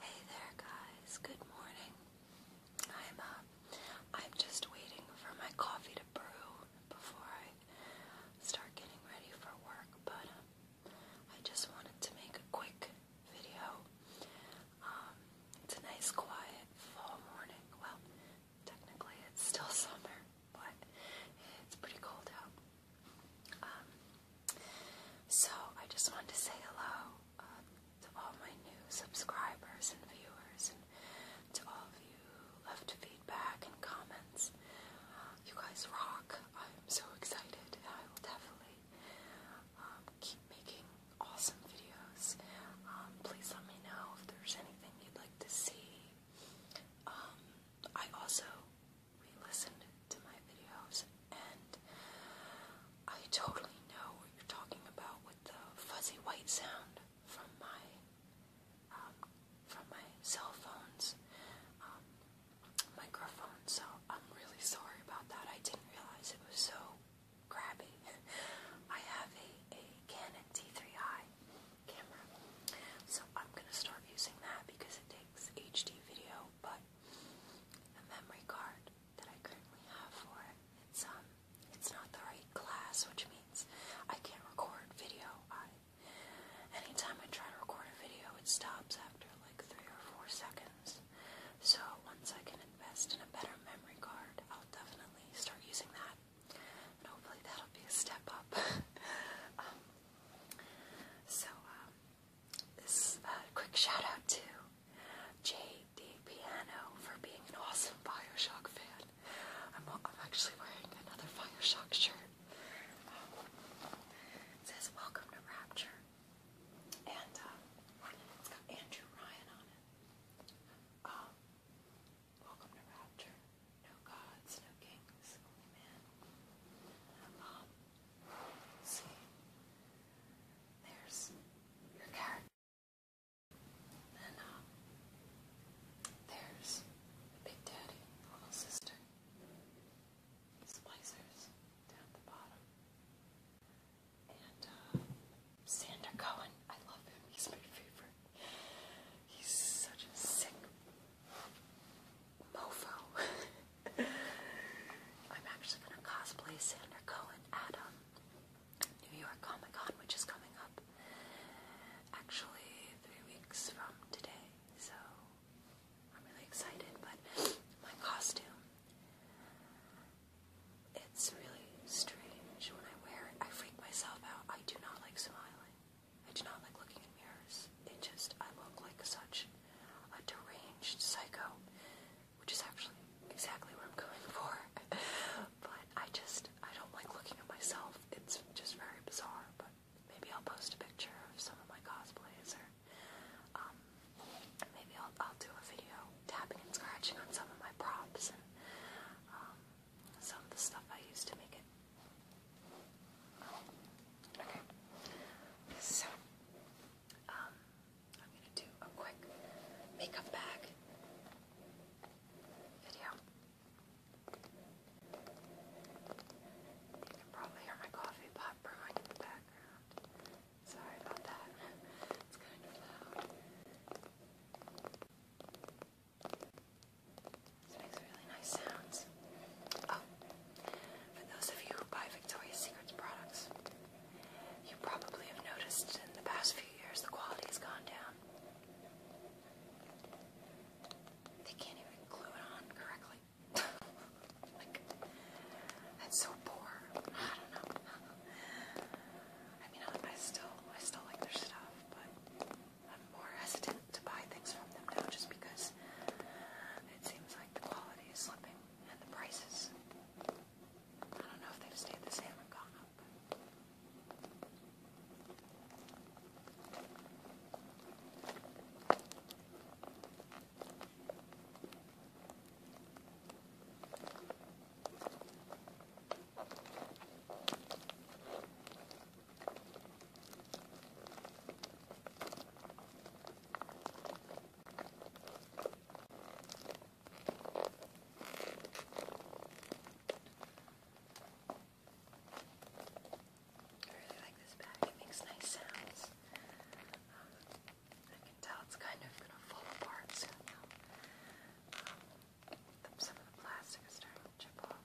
Hey there guys, good morning. I'm uh, I'm just waiting for my coffee to brew before I start getting ready for work, but uh, I just wanted to make a quick video. Um, it's a nice quiet fall morning. Well, technically it's still summer, but it's pretty cold out. Um, so I just wanted to say hello uh, to all my new subscribers and viewers, to all of you left feedback and comments. Uh, you guys rock. I'm so excited. I will definitely um, keep making awesome videos. Um, please let me know if there's anything you'd like to see. I also re-listened to my videos, and I totally know what you're talking about with the fuzzy white sound from my um, from my cell phone's um, microphone. So I'm really sorry about that. I didn't realize it was so grabby. I have a, a Canon D3i camera, so I'm gonna start using that because it takes HD video but a memory card that I currently have for it. It's um it's not the right class, which means I can't record video. anytime I try to record a video it stops after like three or four seconds. So once I can invest in a better memory card, I'll definitely start using that. hopefully that'll be a step up. Um, so um, this uh, quick shout out to JD Piano for being an awesome Bioshock fan. I'm, actually wearing another Bioshock shirt. Um, it says Welcome to Rapture, and uh, it's got Andrew Ryan on it. Um, Welcome to Rapture. No gods, no kings, only man. Um, See, there's your character. And uh, there's the Big Daddy, little sister. Splicers down the bottom. And uh, Sander Cohen, I love him. He's my favorite. He's such a sick mofo. I'm actually going to cosplay Sandra Cohen at um, New York Comic Con, which is coming up actually three weeks from today. So I'm really excited, but my costume. It's really strange when I wear it. I freak myself out. I do not like smiling. I do not like looking in mirrors. It just, I look like such a deranged psycho, which is actually exactly what I'm going for. but I just, I don't like looking at myself. It's just very bizarre, but maybe I'll post a picture of some of my cosplays or um, maybe I'll, I'll do a video tapping and scratching on some of my props and um, some of the stuff I used to make it. Okay, so um, I'm gonna do a quick makeup bag video. You can probably hear my coffee pot brewing in the background. Sorry about that. It's kind of loud. It makes really nice sounds. Oh, for those of you who buy Victoria's Secret products, you probably have noticed in the past few years the quality has gone down. They can't even glue it on correctly. like, that's so poor. I don't know. I mean, I still, I still like their stuff, but I'm more hesitant to buy things from them now just because it seems like the quality is slipping and the prices. I don't know if they've stayed the same or gone up really like this bag, it makes nice sounds. I can tell it's kind of going to fall apart um, some of the plastic is starting to chip off.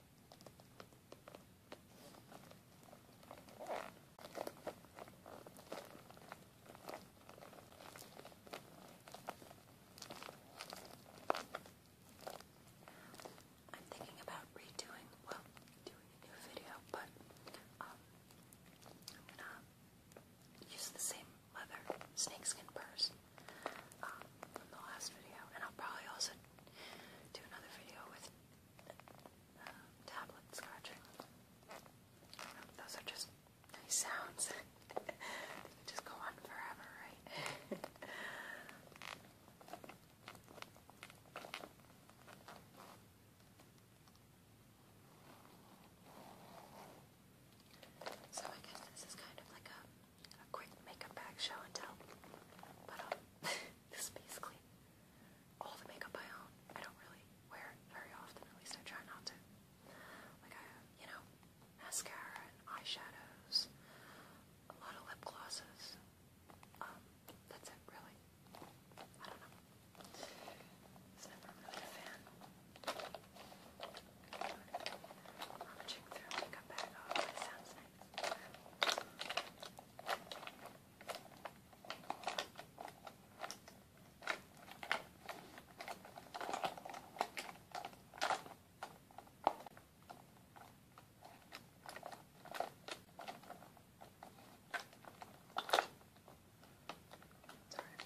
I'm thinking about redoing, well, doing a new video, but um, i use the same leather snakeskin purse um, from the last video, and I'll probably also do another video with uh, tablet scratching. those are just sounds. they just go on forever, right? So I guess this is kind of like a a quick makeup bag show and tell. But um, this is basically all the makeup I own. I don't really wear very often, at least I try not to. Like I, you know, mascara and eyeshadows, a lot of lip glosses. Um, that's it really. I don't know. It's never really a fan. I'm checking through a makeup bag. Oh, it sounds Sorry if it's too loud.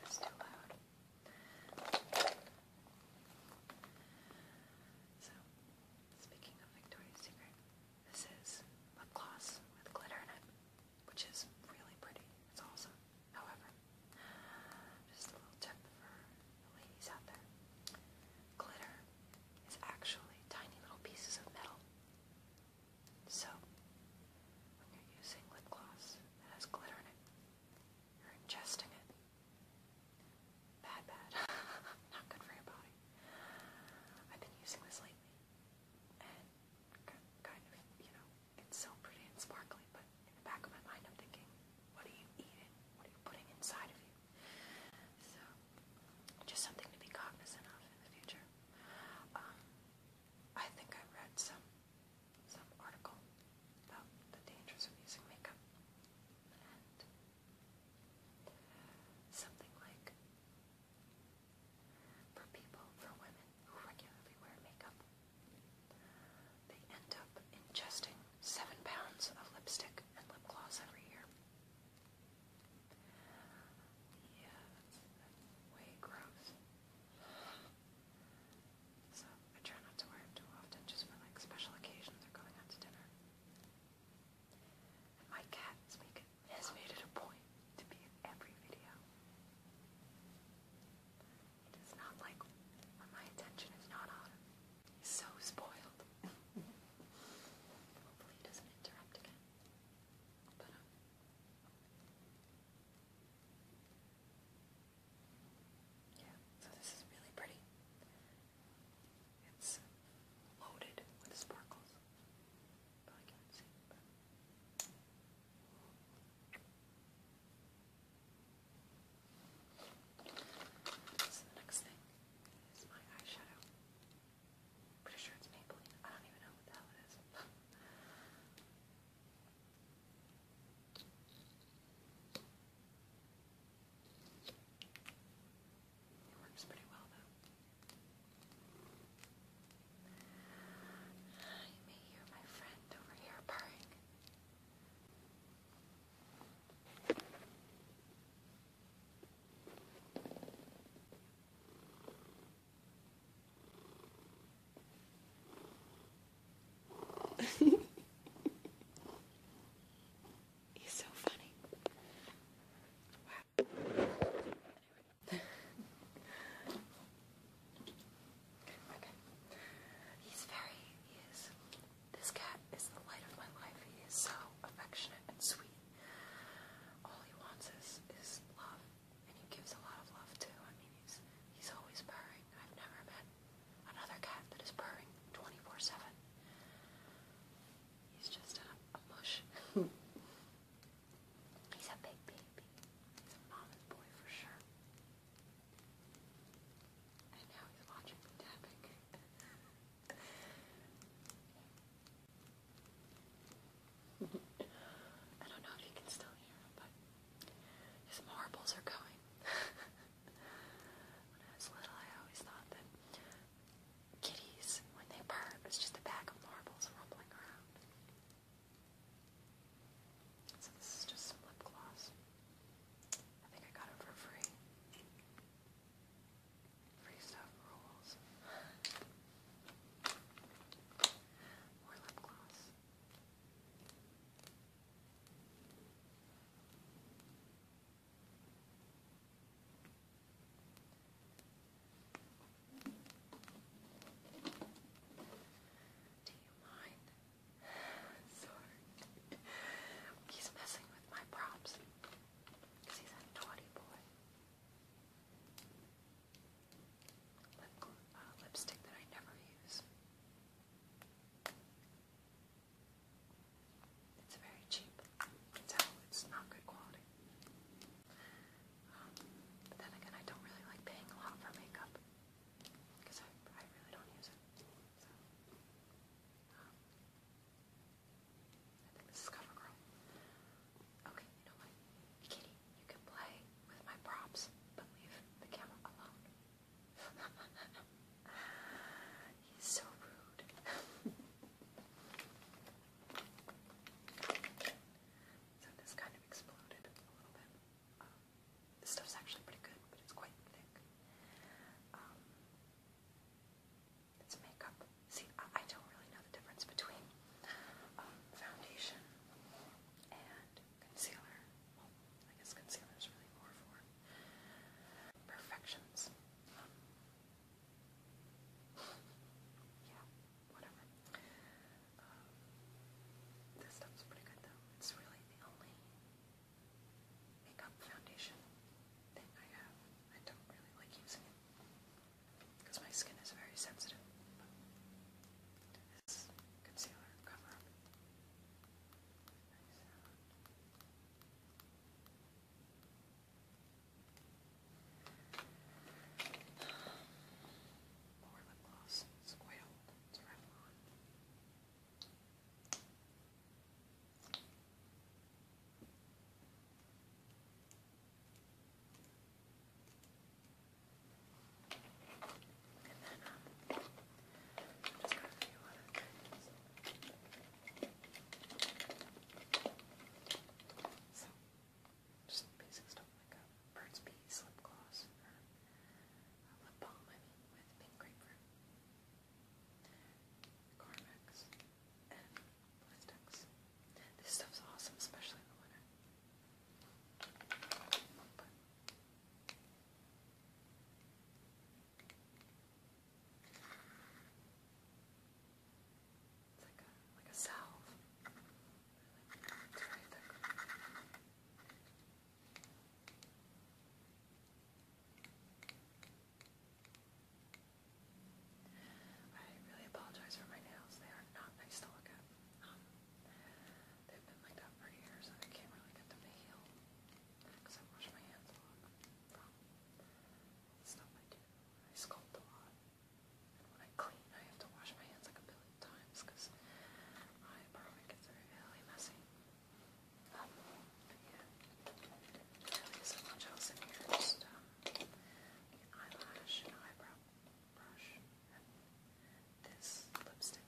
So Speaking of Victoria's Secret, this is lip gloss with glitter in it, which is really pretty. It's awesome. However, just a little tip for the ladies out there. Glitter is actually tiny little pieces of metal. So, when you're using lip gloss that has glitter in it, you're ingesting it, Bad, bad. Not good for your body. I've been using this lately, and kind of, you know, it's so pretty and sparkling, but in the back of my mind I'm thinking, what are you eating? What are you putting inside of you? So, just something to be cognizant of in the future. Um, I think I read some some article about the dangers of using makeup something like for people, for women who regularly wear makeup, they end up ingesting seven pounds of lipstick and lip gloss every year. Yeah, that's way gross. So I try not to wear it too often, just for like special occasions or going out to dinner. And my cat has made it a point to be in every video. He does not like when my attention is not on him. He's so spoiled. Hopefully he doesn't interrupt again. But um, yeah, so this is really pretty. It's loaded with sparkles. Probably can't see So the next thing is my eyeshadow. Pretty sure it's Maybelline. I don't even know what the hell it is. It works pretty well though. You may hear my friend over here purring. He's so funny. Wow. okay. He's very, he is, this cat is the light of my life. He is so affectionate and sweet. All he wants is, is love. And he gives a lot of love too. I mean, he's, he's always purring. I've never met another cat that is purring 24 7. He's just a, mush. He's a big baby. He's a mama's boy for sure. And now he's watching me I don't know if you can still hear him, but his marbles are going. when I was little, I always thought that kitties, when they purr, it was just a bag of marbles rumbling around. So this is just some lip gloss. I think I got it for free. Free stuff rules. More lip gloss. This do you mind? Sorry. He's messing with my props. Because he's a naughty boy. Lip, uh, lipstick that I never use. It's very cheap. it's not good quality. Um, but then again, I don't really like paying a lot for makeup because I, really don't use it. So, um, I think this is CoverGirl. Okay, you know what? Kitty, you can play with my props, but leave the camera alone. He's so rude. so this kind of exploded a little bit. Um, this stuff's actually pretty good, but it's quite thick. Um, it's makeup. See, I, don't really know the difference between um, foundation and concealer. Well, I guess concealer is really more for perfections. yeah, whatever. Um, this stuff's pretty good though. It's really the only makeup foundation thing I have. I don't really like using it because my skin is very sensitive. this concealer cover up. More lip gloss. It's quite old. It's Revlon. And then just basic stuff like a Burt's Bees lip gloss lip balm, I mean, with pink grapefruit, Carmex, and Blistex. This stuff's awesome, especially in the winter. It's like a, like a salve. I really apologize for my nails. They are not nice to look at. they've been like that for years and I can't really get them to heal because I wash my hands a lot stuff I do. I sculpt a lot. when I clean, I have to wash my hands like a billion times because my apartment gets really messy. Um, um, eyelash, an eyebrow brush, this lipstick.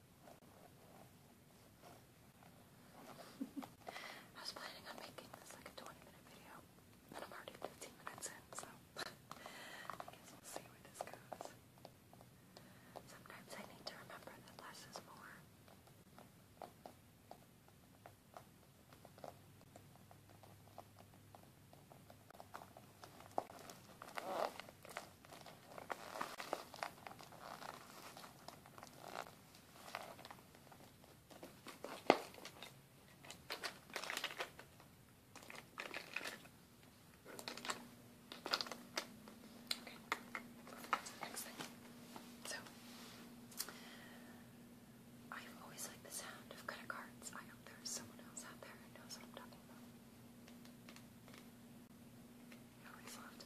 I was planning on making this like a 20 minute video, and I'm already 15 minutes in, so I guess we'll see where this goes. Sometimes I need to remember that less is more. Next thing. So, i always liked the sound of credit cards. I hope there's someone else out there knows what I'm talking about. I always loved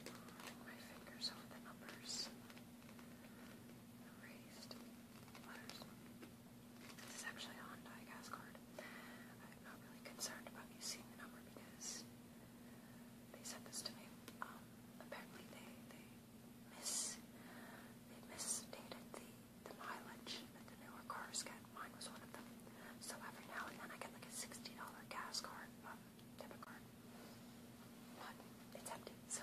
putting my fingers over the numbers. Erased letters. This is actually a Hyundai gas card. I'm not really concerned about you seeing the number because they said this to me. Um, apparently they they miss they misstated the the mileage that the newer cars get. Mine was one of them. So every now and then I get like a sixty dollar gas card, but debit card. But it's empty, so.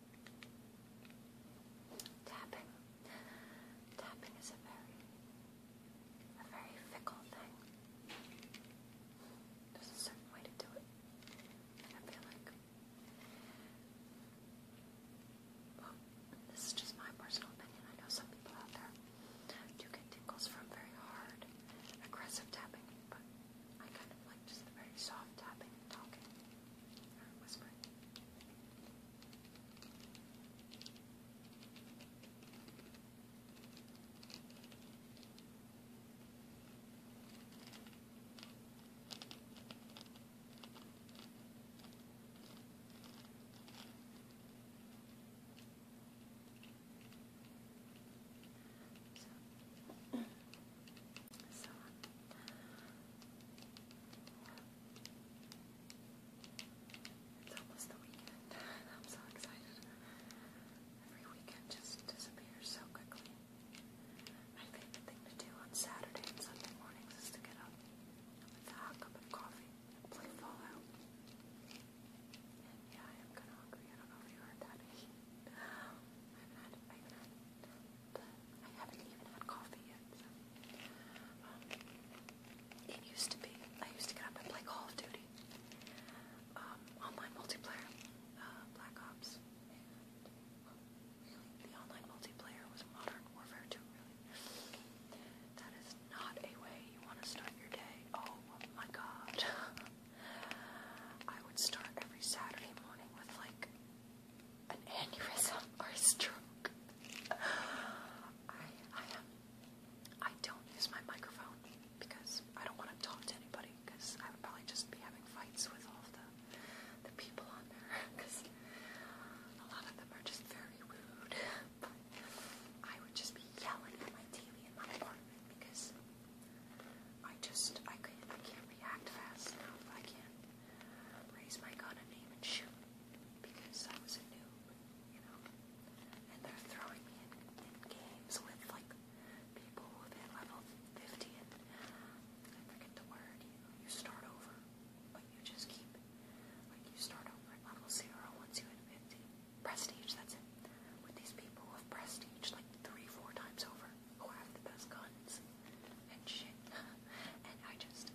Tapping. Tapping is a very, a very fickle thing. There's a certain way to do it. I feel like, this is just my personal opinion. I know some people out there do get tingles from very hard, aggressive tapping, but I kind of like just the very soft tapping and talking. Or whisper. So, so, it's almost the weekend. I'm so excited. Every weekend just disappears so quickly. My favorite thing to do on Saturday and is to get up with a hot cup of coffee play Fallout. yeah, I am kind of hungry. I don't know if you heard that. I haven't I haven't I haven't even had coffee yet. Um, it used to be, I used to get up and play Call of Duty. Um, online multiplayer, uh, Black Ops. the online multiplayer was Modern Warfare 2, That is not a way you want to start your day. Oh my god. I would start every Saturday morning with like an aneurysm or a stroke. I, I don't use my microphone because I don't want to talk to anybody because I would probably just be having fights with all of the the people on there because a lot of them are just very rude. I would just be yelling at my TV in my apartment because I just I can I can't react fast enough. I can't raise my gun and aim and shoot because I was a noob, you know. And they're throwing me in, in games with like people who've hit level 50 and I forget the word, you know, you start over, but you just keep, like you start over at level 0 once you hit 50. Prestige, that's it. With these people who have prestige like three, four times over who have the best guns and shit. and I just,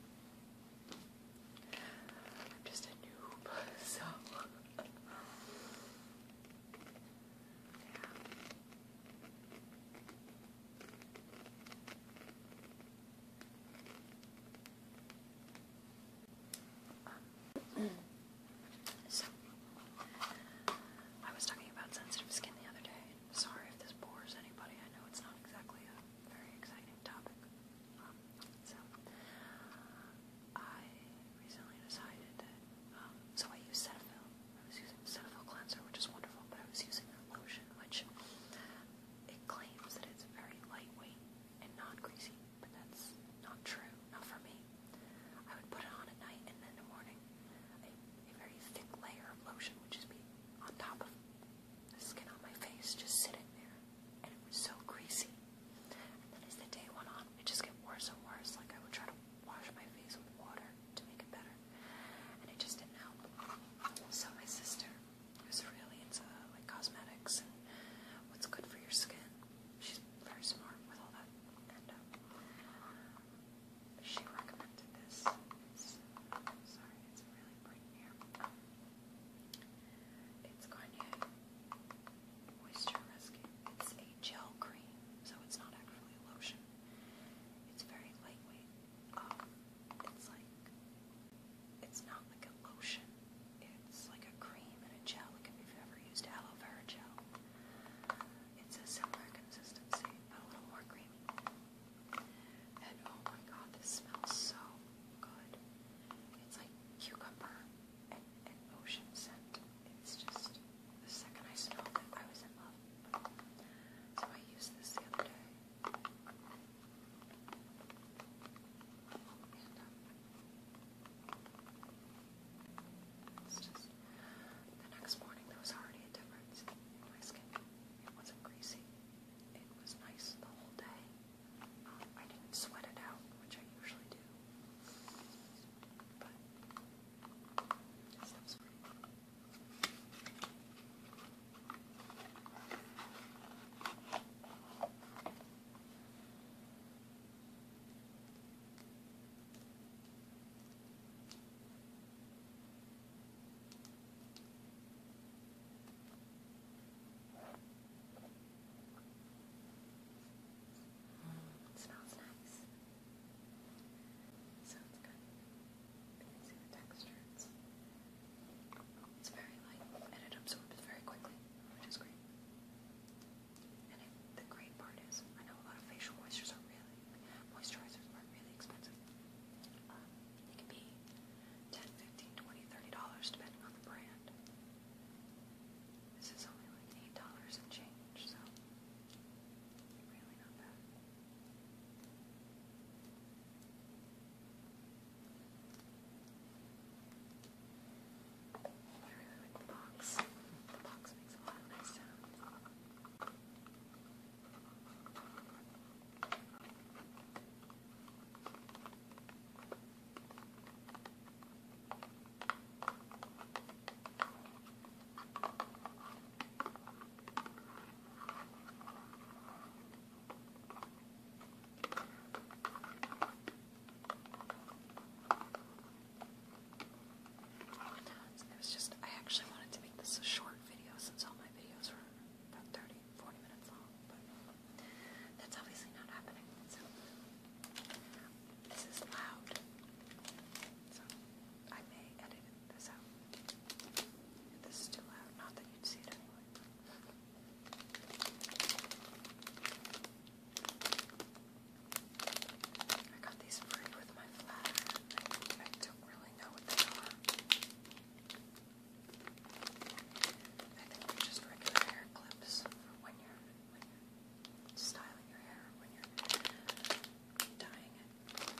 I'm just a noob, so I was talking about sensitive skin the other day, Sorry if this bores anybody. I know it's not exactly a very exciting topic. Um, so, uh, I recently decided that, um, so I use Cetaphil. I was using Cetaphil cleanser, which is wonderful, but I was using lotion, which it claims that it's very lightweight and not greasy, but that's not true. Not for me. I would put it on at night and then in the morning. a very thick layer of lotion would just be on top of the skin on my face, just sitting there. And it was so greasy. And then as the day went on, it just got worse and worse. Like I would try to wash my face with water to make it better. And it just didn't help. So my sister, who's really into like cosmetics and what's good for your skin, she's very smart with all that. And um, she recommended this. It's, sorry, it's really bright here. It's Garnier Moisture Rescue. It's a gel cream, so it's not actually a lotion. It's very lightweight. Um, it's like it's not like a lotion. It's like a cream and a gel. Like if you've ever used aloe vera gel, it's a similar consistency, but a little more creamy. And oh my god, this smells so good. It's like cucumber and, ocean scent. It's just, the second I smelled it, I was in love. So I used this the um, it's just, the next morning there was already a difference in my skin. It wasn't greasy. It was nice the whole day. Um, I didn't sweat it out, which I usually do. Mm, smells nice. Sounds good. You can see the texture. It's, very light and it absorbs very quickly, which is great. And the great part is, I know a lot of facial moistures are really Moisturizers are really expensive. Um, can be $10, depending on the brand. This is only like $8 and change, so really not bad. I really like the box. The box makes a lot of nice sound. So there's just I actually wanted to make this a short long video since all my videos were about 30, 40 minutes long, but that's obviously not happening. this is loud. So I may edit this out. this is too loud, not that you'd see it anyway. I got these free with my flag do really know what they are. they're just regular hair clips for when you're, styling your hair, when you're dyeing it.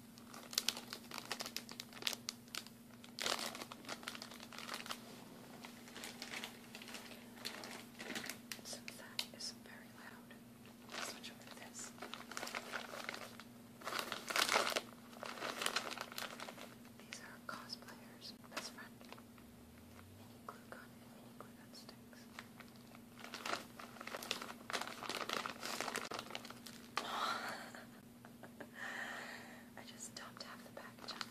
Since that is very loud, I'll switch over this. These are cosplayers' best friend glue gun glue gun sticks. I just dumped half the package If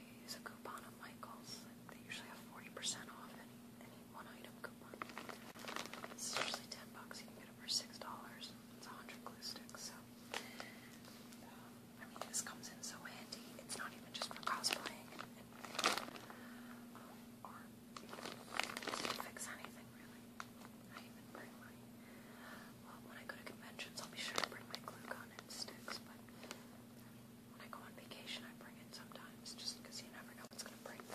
you use a coupon at Michaels, they usually have 40% off any, any one item coupon. It's 10 bucks, you can get it for $6. It's 100 glue sticks, so. Um, I mean, this comes in so handy. It's not even just for cosplaying and, and um, or to fix anything really. I even bring my well, when I go to conventions, I'll be sure to bring my glue gun and sticks. But I mean, when I go on vacation, I bring it sometimes just because you never know what's gonna break. Them.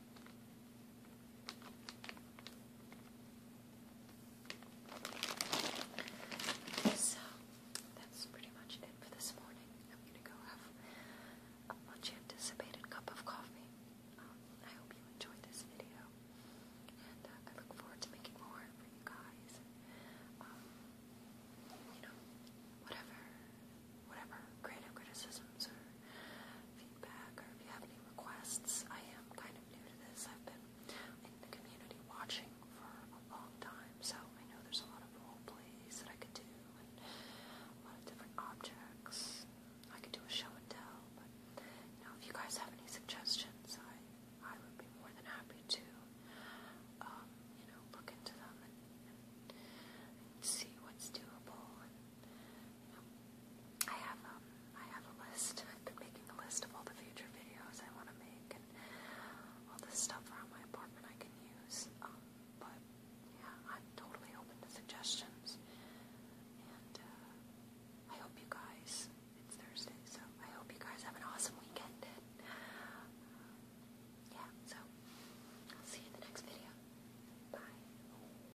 So, that's pretty much it for this morning. I'm gonna go have a much anticipated cup of coffee. Um, I hope you enjoyed this video, and uh, I look forward to making more for you guys. Um, you know, whatever, whatever criticisms or feedback or if you have any requests. I am kind of new to this. I've been in the community watching for a long time, so I know there's a lot of role plays that I could do and a lot of different objects. I could do a show and tell, but you know, if you guys have any suggestions, I I would be more than happy to um, you know, look into them and, and, and see what's doable and I have um I have a list. I've been making a list of all the future videos I want to make and all the stuff around my apartment I can use. Um, but yeah, I'm totally open to suggestions. And uh, I hope you guys. It's Thursday, so I hope you guys have an awesome weekend. yeah, so see you in the next video. Bye.